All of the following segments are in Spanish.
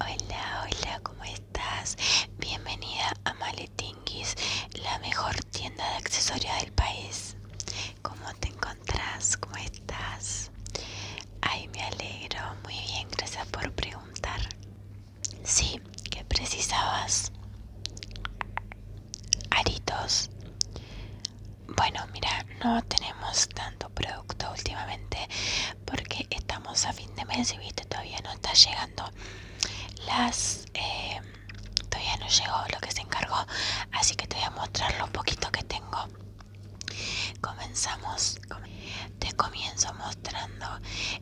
Hola, hola, ¿cómo estás? Bienvenida a Maletinguis, la mejor tienda de accesorios del país. ¿Cómo te encontrás? ¿Cómo estás? Ay, me alegro. Muy bien, gracias por preguntar. Sí, ¿qué precisabas? Aritos. Bueno, mira, no tenemos tanto producto últimamente porque estamos a fin de mes y viste todavía no está llegando las eh, todavía no llegó lo que se encargó así que te voy a mostrar lo poquito que tengo comenzamos te comienzo mostrando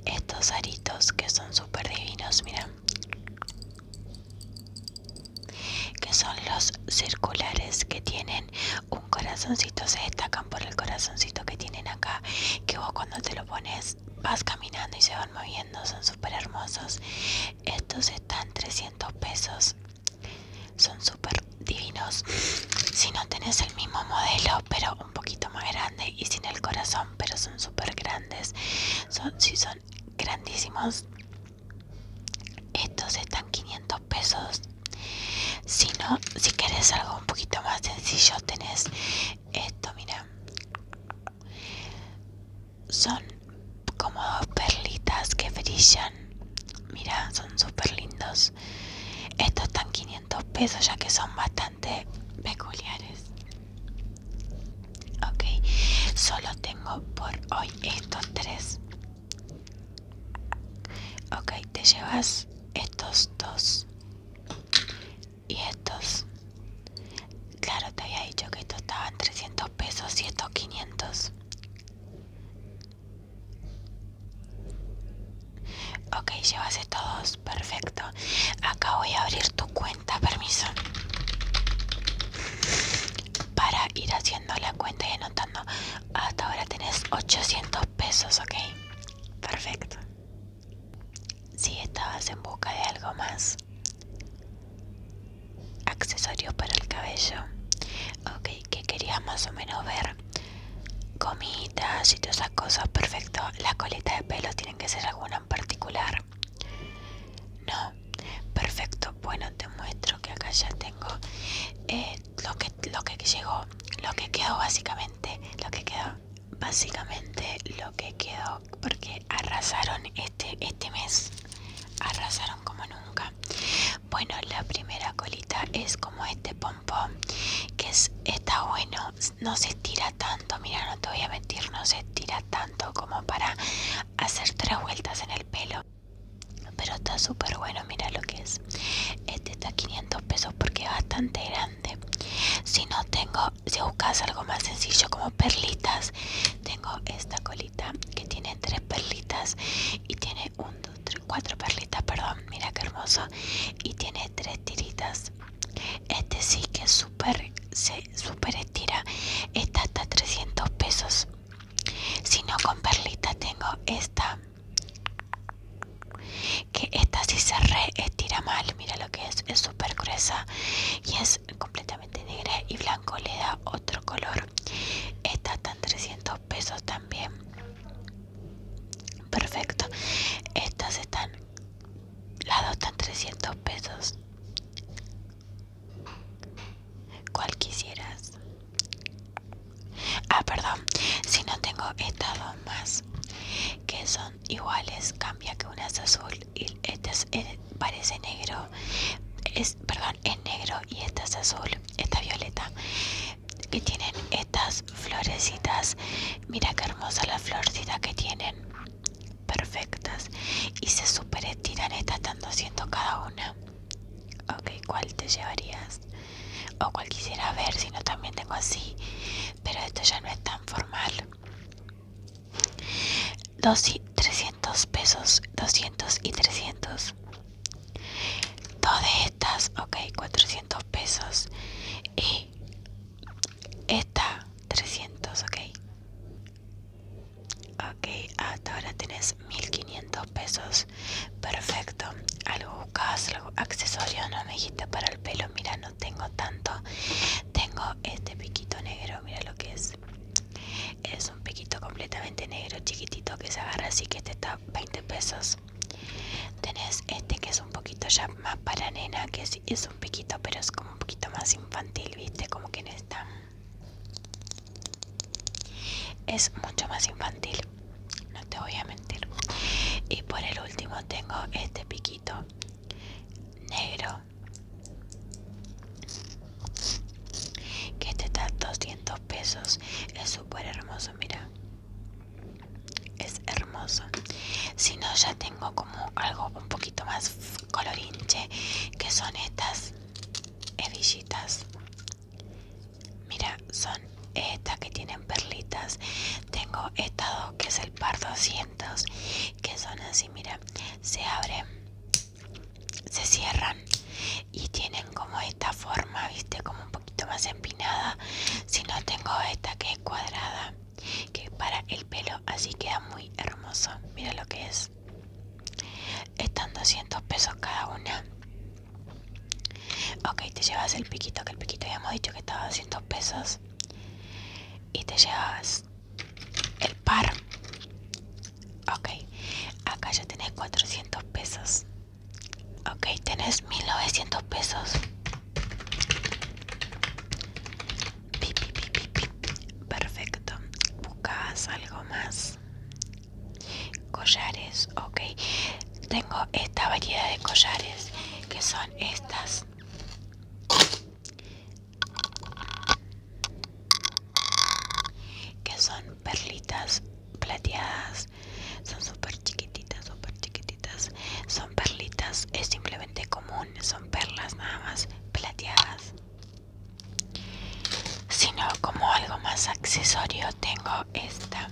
estos aritos que son súper divinos mira que son los circulares que tienen un corazoncito se destacan por el corazoncito que tienen acá que vos cuando te lo pones vas caminando y se van moviendo son súper hermosos estos están 300 pesos son súper divinos si no tenés el mismo modelo pero un poquito más grande y sin el corazón pero son súper grandes son si son grandísimos estos están 500 pesos si no, si quieres algo un poquito más sencillo, tenés esto, mira. Son como dos perlitas que brillan. Mira, son súper lindos. Estos están 500 pesos ya que son bastante peculiares. Ok, solo tengo por hoy estos tres. Ok, te llevas estos dos y estos. Claro, te había dicho que estos estaban 300 pesos y estos 500. Ok, llevas estos dos, perfecto. Acá voy a abrir tu cuenta, permiso. Para ir haciendo la cuenta y anotando. Hasta ahora tenés 800 pesos, ok. Perfecto. Si estabas en busca de algo más, accesorios para el cabello, ok, que querías más o menos ver Comitas, y todas esas cosas, perfecto. Las colitas de pelo tienen que ser alguna en particular. No, perfecto. Bueno, te muestro que acá ya tengo eh, lo que lo que llegó lo que quedó básicamente lo que quedó básicamente lo que quedó porque arrasaron este este mes arrasaron como nunca bueno la primera colita es como este pompón que es, está bueno no se estira tanto mira no te voy a mentir no se estira tanto como para hacer tres vueltas en el pelo pero está súper bueno mira lo que es este está 500 pesos porque es bastante grande si no tengo si buscas algo más sencillo como perlitas tengo esta colita que tiene tres perlitas y tiene un perlitas perdón mira que hermoso y tiene tres tiritas este sí que es súper se super estira está hasta 300 pesos si no con perlita tengo esta que esta si se estira mal mira lo que es es súper gruesa y es completamente negra y blanco le da otro color esta están 300 pesos también perfecto estas están las dos están 300 pesos cual quisieras Ah, perdón. Si no tengo estas dos más que son iguales, cambia que una es azul y esta eh, parece negro. Es, perdón, es negro y esta es azul, esta violeta. Y tienen estas florecitas. Mira qué hermosa la florcita que tienen. Perfectas. Y se super estiran. Estas tanto 200 cada una. Ok, ¿cuál te llevarías? O cuál quisiera ver, si no también tengo así. Pero esto ya no es tan formal. 200 300 pesos, 200 y 300. Dos de estas, ok, 400 pesos. Y esta, 300, ok. Ok, hasta ahora tenés 1500 pesos. Perfecto. Algo buscabas, algo accesorio, no me dijiste para el pelo. Mira, no tengo tanto. Tengo este piquito negro, mira lo que es. Es un piquito completamente negro, chiquitito, que se agarra así que este está 20 pesos. Tenés este que es un poquito ya más para nena, que es, es un piquito, pero es como un poquito más infantil, viste, como que en esta es mucho más infantil no te voy a mentir. Y por el último tengo este piquito negro. Que este está 200 pesos. Es súper hermoso, mira. Es hermoso. Si no, ya tengo como algo un poquito más colorinche. Que son estas herillitas Mira, son estas que tienen perlitas. Tengo estas dos que es el par 200, que son así, mira, se abren, se cierran y tienen como esta forma, viste, como un poquito más empinada. Si no, tengo esta que es cuadrada, que para el pelo así queda muy hermoso. Mira lo que es. Están 200 pesos cada una. Ok, te llevas el piquito, que el piquito ya hemos dicho que estaba a 200 pesos. Y te llevas el par. Ok, acá ya tenés 400 pesos. Ok, tenés 1900 pesos. Perfecto. Buscas algo más. Collares, ok. Tengo esta variedad de collares que son estas. Que son perlitas plateadas. Son super chiquititas, super chiquititas. Son perlitas, es simplemente común. Son perlas nada más plateadas. Sino como algo más accesorio tengo esta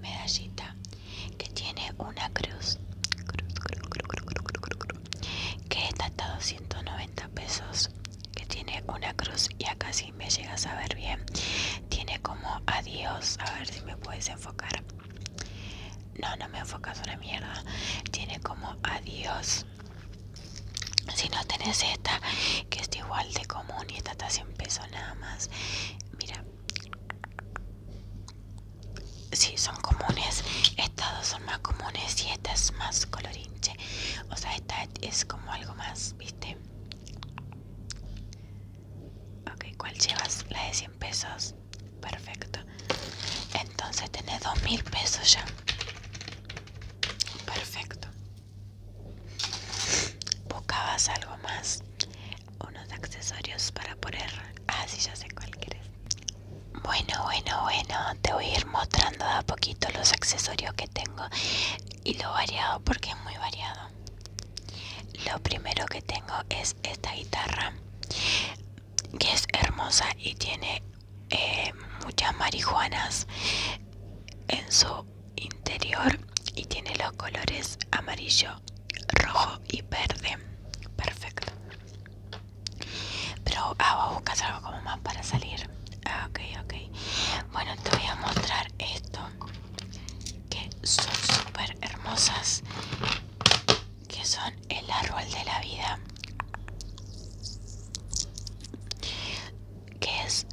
medallita que tiene una cruz, que está a 290 pesos que tiene una cruz y acá si me llegas a ver bien tiene como adiós a ver si me puedes enfocar no no me enfocas una mierda tiene como adiós si no tenés esta que es igual de común y esta está 100 pesos nada más. Mira, sí, son comunes. Estas dos son más comunes y esta es más colorinche. O sea, esta es como algo más, ¿viste? Ok, ¿cuál llevas? La de 100 pesos. Perfecto. Entonces tenés 2.000 pesos ya. Perfecto. Buscabas algo más, unos accesorios para poner. Ah, sí, ya sé cuál quieres. Bueno, bueno, bueno, te voy a ir mostrando a poquito los accesorios que tengo y lo variado porque es muy variado. Lo primero que tengo es esta guitarra que es hermosa y tiene eh, muchas marihuanas en su interior y tiene los colores amarillo, rojo y verde. Perfecto. Pero ah, vos buscas algo como más para salir. Ah, ok, ok. Bueno, te voy a mostrar esto. Que son súper hermosas. Que son el árbol de la vida. Que es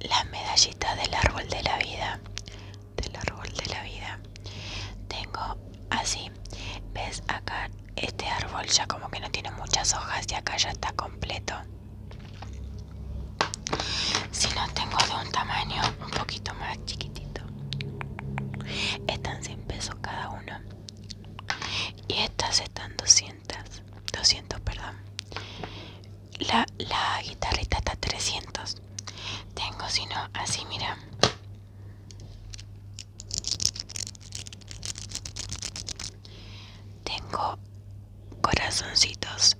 la medallita del árbol de la vida del árbol de la vida tengo así ves acá este árbol ya como que no tiene muchas hojas y acá ya está completo si no tengo de un tamaño un poquito más chiquitito están 100 pesos cada uno y estas están 200 200 perdón la, guitarrita está 300 tengo si no así mira tengo corazoncitos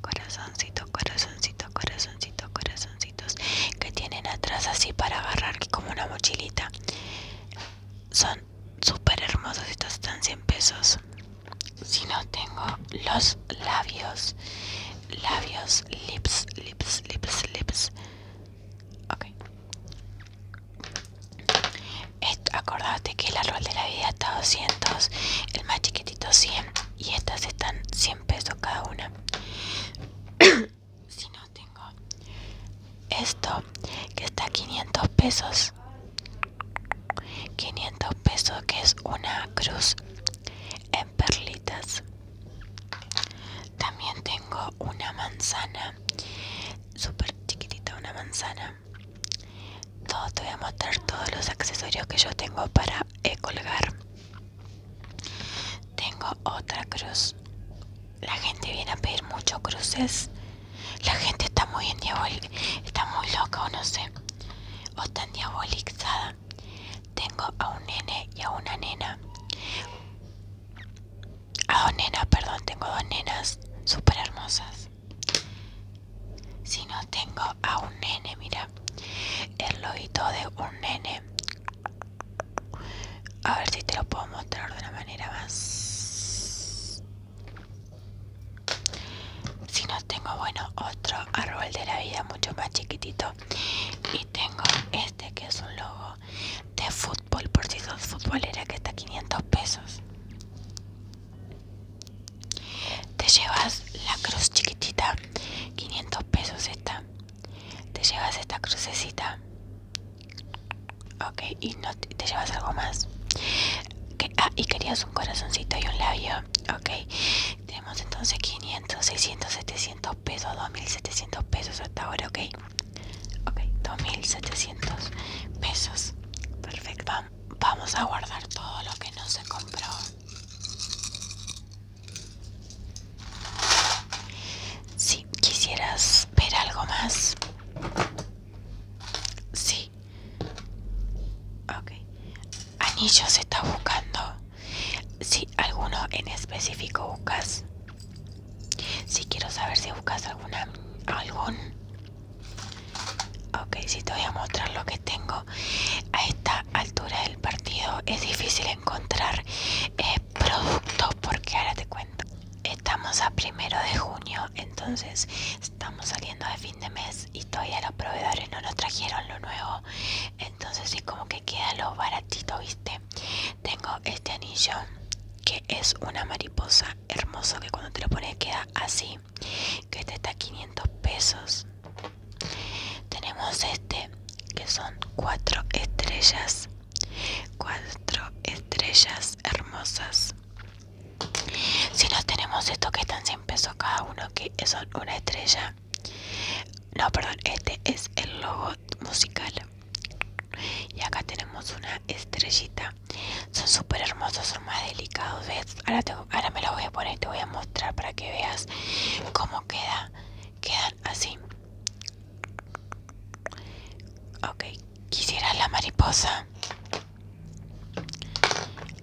corazoncitos corazoncitos corazoncitos corazoncitos que tienen atrás así para agarrar como una mochilita son súper hermosos estos están 100 pesos si no tengo los labios labios lips lips lips lips ok acordate que el árbol de la vida está a 200 el más chiquitito 100 y estas están 100 pesos cada una si no tengo esto que está 500 pesos 500 pesos que es una cruz en perlitas también tengo una manzana súper chiquitita una manzana todo, te voy a mostrar todos los accesorios que yo tengo para eh, colgar tengo otra cruz la gente viene a pedir Muchos cruces la gente está muy en diabol está muy loca o no sé o tan diabolizada. Tengo a un nene y a una nena. A dos nenas, perdón, tengo dos nenas super hermosas. Si no tengo a un nene, mira. El lobito de un nene. A ver si te lo puedo mostrar de una manera más si no tengo, bueno, otro árbol de la vida mucho más chiquitito. Y tengo este que es un logo de fútbol, por si sos futbolera, que está a 500 pesos. Te llevas la cruz chiquitita, 500 pesos esta. Te llevas esta crucecita. Ok, y no te llevas algo más ah, y querías un corazoncito y un labio. Ok, tenemos entonces 500, 600, 700 pesos, 2700 pesos hasta ahora. Ok, ok, 2700 pesos. Perfecto, vamos a guardar todo lo que no se compró. Si quisieras ver algo más, sí, Ok. Anillos está buscando. Si alguno en específico buscas. Si quiero saber si buscas alguna algún. Ok, si te voy a mostrar lo que tengo. A esta altura del partido es difícil encontrar eh, productos porque ahora te cuento. Estamos a primero de junio, entonces estamos saliendo de fin de mes y todavía los proveedores no nos trajeron lo nuevo. Entonces sí como que queda lo baratito, viste. Tengo este anillo que es una mariposa hermoso que cuando te lo pones queda así. Que este está a 500 pesos. Tenemos este que son cuatro estrellas. Cuatro estrellas hermosas. Si no tenemos estos que están 100 pesos cada uno, que son una estrella. No, perdón, este es el logo musical. Y acá tenemos una estrellita. Son súper hermosos, son más delicados. Ahora, ahora me lo voy a poner, te voy a mostrar para que veas cómo queda. Quedan así. Ok, quisiera la mariposa.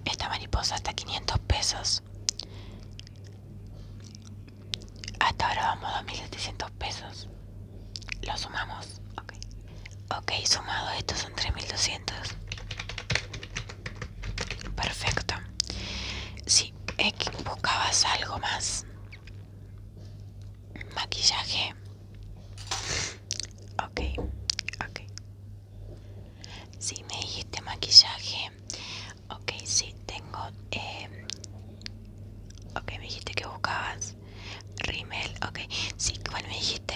Esta mariposa hasta 500 pesos. Hasta ahora vamos a 2.700 pesos. Lo sumamos. Ok, sumado estos son 3.200. Perfecto. Si equivocabas buscabas algo más. Maquillaje. Ok, ok. Si me dijiste maquillaje. Ok, si, tengo. Eh, ok, me dijiste que buscabas rimel. Ok, si, bueno, me dijiste?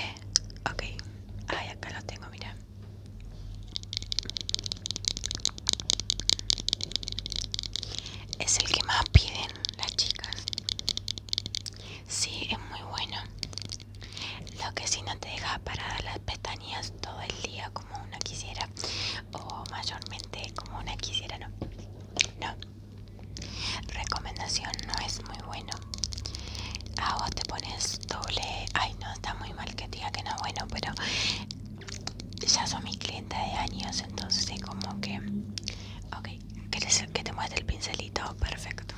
Ok, ay, acá lo tengo, mira. Es el que más piden las chicas. Sí, es muy bueno. Lo que sí no te deja parar las pestañas todo el día como una quisiera. O mayormente como una quisiera, no. No. Recomendación no es muy bueno. A ah, vos te pones doble. Ay, no, está muy mal que diga que no es bueno, pero ya son mi clientes de años, entonces es como que. Ok, que te muestre el pincelito? Perfecto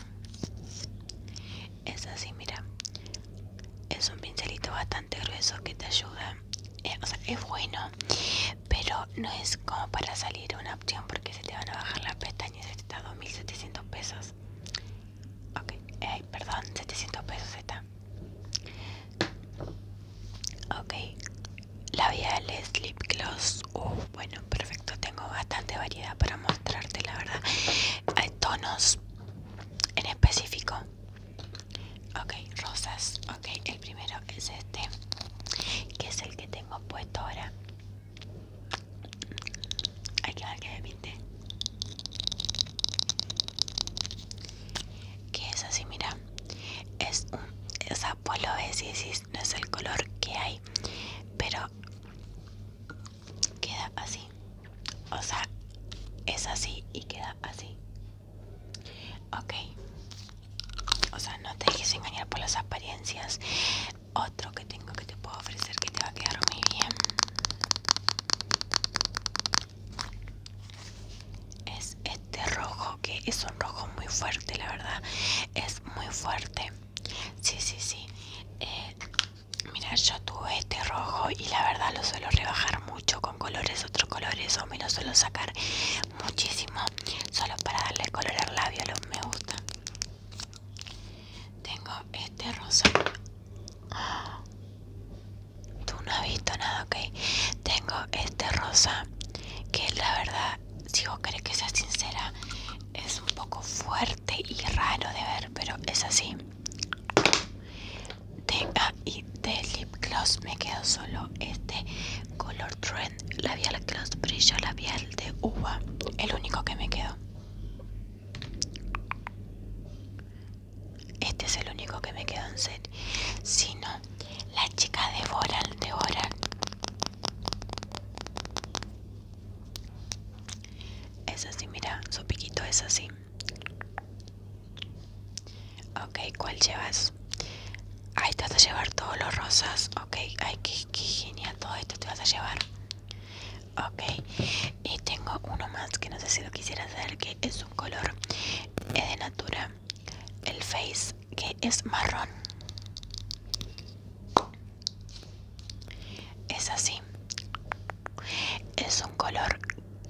es así mira es un pincelito bastante grueso que te ayuda eh, o sea es bueno pero no es como para salir una opción porque se te van a bajar las pestañas está 2700 pesos ok eh, perdón 700 pesos está ok labiales lip gloss uh, bueno perfecto tengo bastante para mostrarte, la verdad. Hay tonos en específico. Ok, rosas. Ok, el primero es este, que es el que tengo puesto ahora. Hay que ver que me Que es así, mira. Es un. Es apolo, no es el color que hay. Pero queda así. O sea, es así y queda así. Ok. O sea, no te dejes engañar por las apariencias. Otro que tengo que te puedo ofrecer que te va a quedar muy bien. Es este rojo, que es un rojo muy fuerte, la verdad. Es muy fuerte. Sí, sí, sí. Eh, Mira, yo tuve este rojo y la verdad lo suelo rebajar mucho con colores, otros colores o me lo suelo sacar muchísimo solo para darle color al labio, los me gusta. Tengo este rosa. Tú no has visto nada, ok. Tengo este rosa que la verdad, si vos querés que sea sincera, es un poco fuerte y raro de ver, pero es así. De, A ah, y de lip gloss me quedo solo este color trend labial gloss brillo labial de uva, el único que me quedó. Este es el único que me quedó en set. Si no, la chica de Boral de Boral es así, mira, su piquito es así. Ok, ¿cuál llevas? Ahí te vas a llevar todos los rosas. Ok, ay, que genial, todo esto te vas a llevar. Ok, y tengo uno más que no sé si lo quisiera hacer, que es un color eh, de Natura, el Face, que es marrón. Es así. Es un color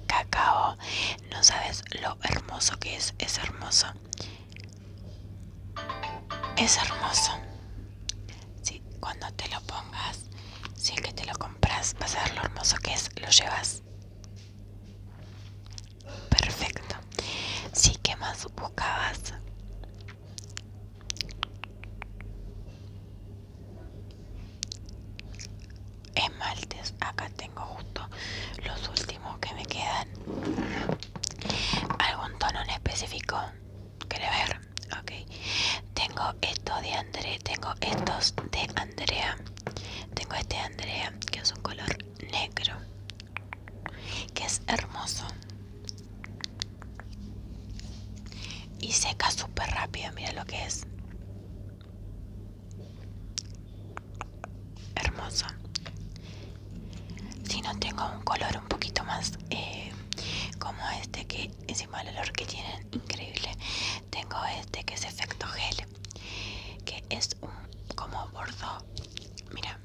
cacao. No sabes lo hermoso que es. Es hermoso. Es hermoso. Sí, cuando te lo pongas, si es que te lo compras, vas a ver lo hermoso que es. Lo llevas. Perfecto. Sí, que más buscabas? Esmaltes, acá tengo justo los últimos que me quedan. Algún tono en específico. quiere ver? Ok. Tengo esto de André, tengo estos de Andrea. Tengo este de Andrea, que es un color negro. Que es hermoso. Y seca súper rápido, mira lo que es. Hermoso. Si no tengo un color un poquito más eh, como este que encima el olor que tienen, increíble. Tengo este que es efecto gel, que es un como bordo. Mira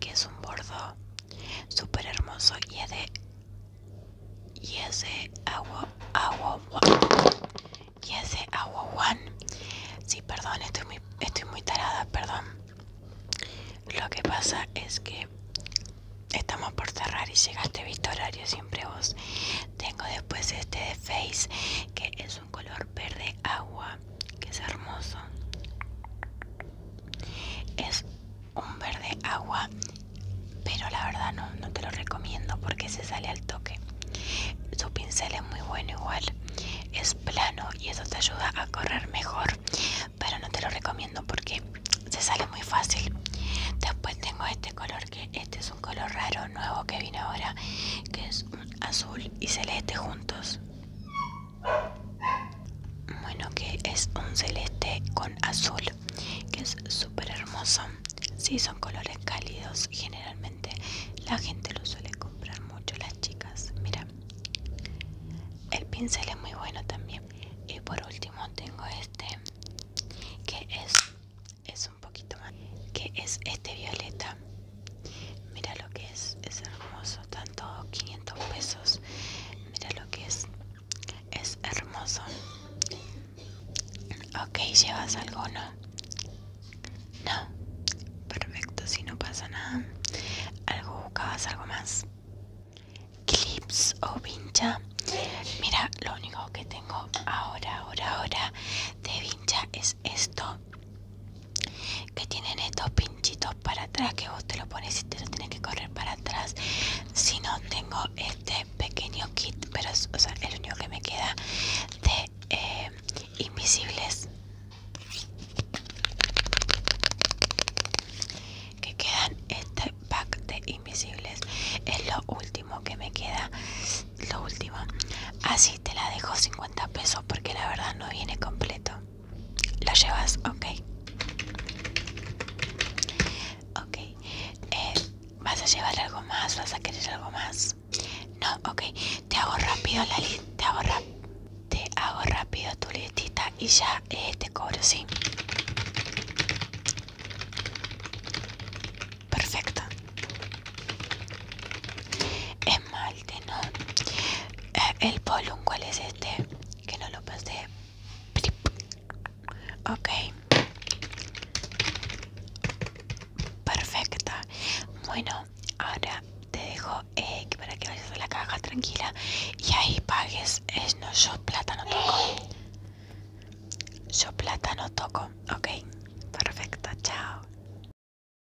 que es un bordo súper hermoso y es de y es agua agua y es agua one sí perdón estoy muy estoy muy tarada perdón lo que pasa es que estamos por cerrar y llegaste visto horario siempre vos tengo después este de face que es color verde agua que es hermoso es un verde agua pero la verdad no, te lo recomiendo porque se sale al toque su pincel es muy bueno igual es plano y eso te ayuda a correr mejor pero no te lo recomiendo porque se sale muy fácil después tengo este color que este es un color raro nuevo que vino ahora que es un azul y celeste juntos bueno, que es un celeste con azul, que es súper hermoso. Si son colores cálidos. Generalmente la gente lo suele comprar mucho, las chicas. Mira, el pincel es muy bueno también. Y por último tengo este, que es, es un poquito más, que es este violeta. Mira lo que es, es hermoso, tanto 500 pesos. Mira lo que es, es hermoso. Ok, llevas algo, ¿no? No, perfecto, si no pasa nada. Algo buscabas, algo más. Clips o vincha. Mira, lo único que tengo ahora, ahora, ahora de vincha es esto que tienen estos pinchitos para atrás que vos te lo pones y te lo tienes que correr para atrás si no tengo este pequeño kit pero es el único que me queda de eh, invisibles que quedan este pack de invisibles es lo último que me queda lo último así te la dejo 50 pesos porque la verdad no viene completo. ¿Lo llevas? Ok. Ok. Eh, ¿Vas a llevar algo más? ¿Vas a querer algo más? No, ok. Te hago rápido la lista te, hago te hago rápido tu listita y ya eh, te cobro, ¿sí? Perfecto esmalte, ¿no? Eh, el polum, ¿cuál es este? Que no lo pasé. Ok. Perfecta. Bueno, ahora te dejo eh, para que vayas a la caja tranquila y ahí pagues. Es no, yo plata no toco. Yo plata no toco. Ok. Perfecta. Chao.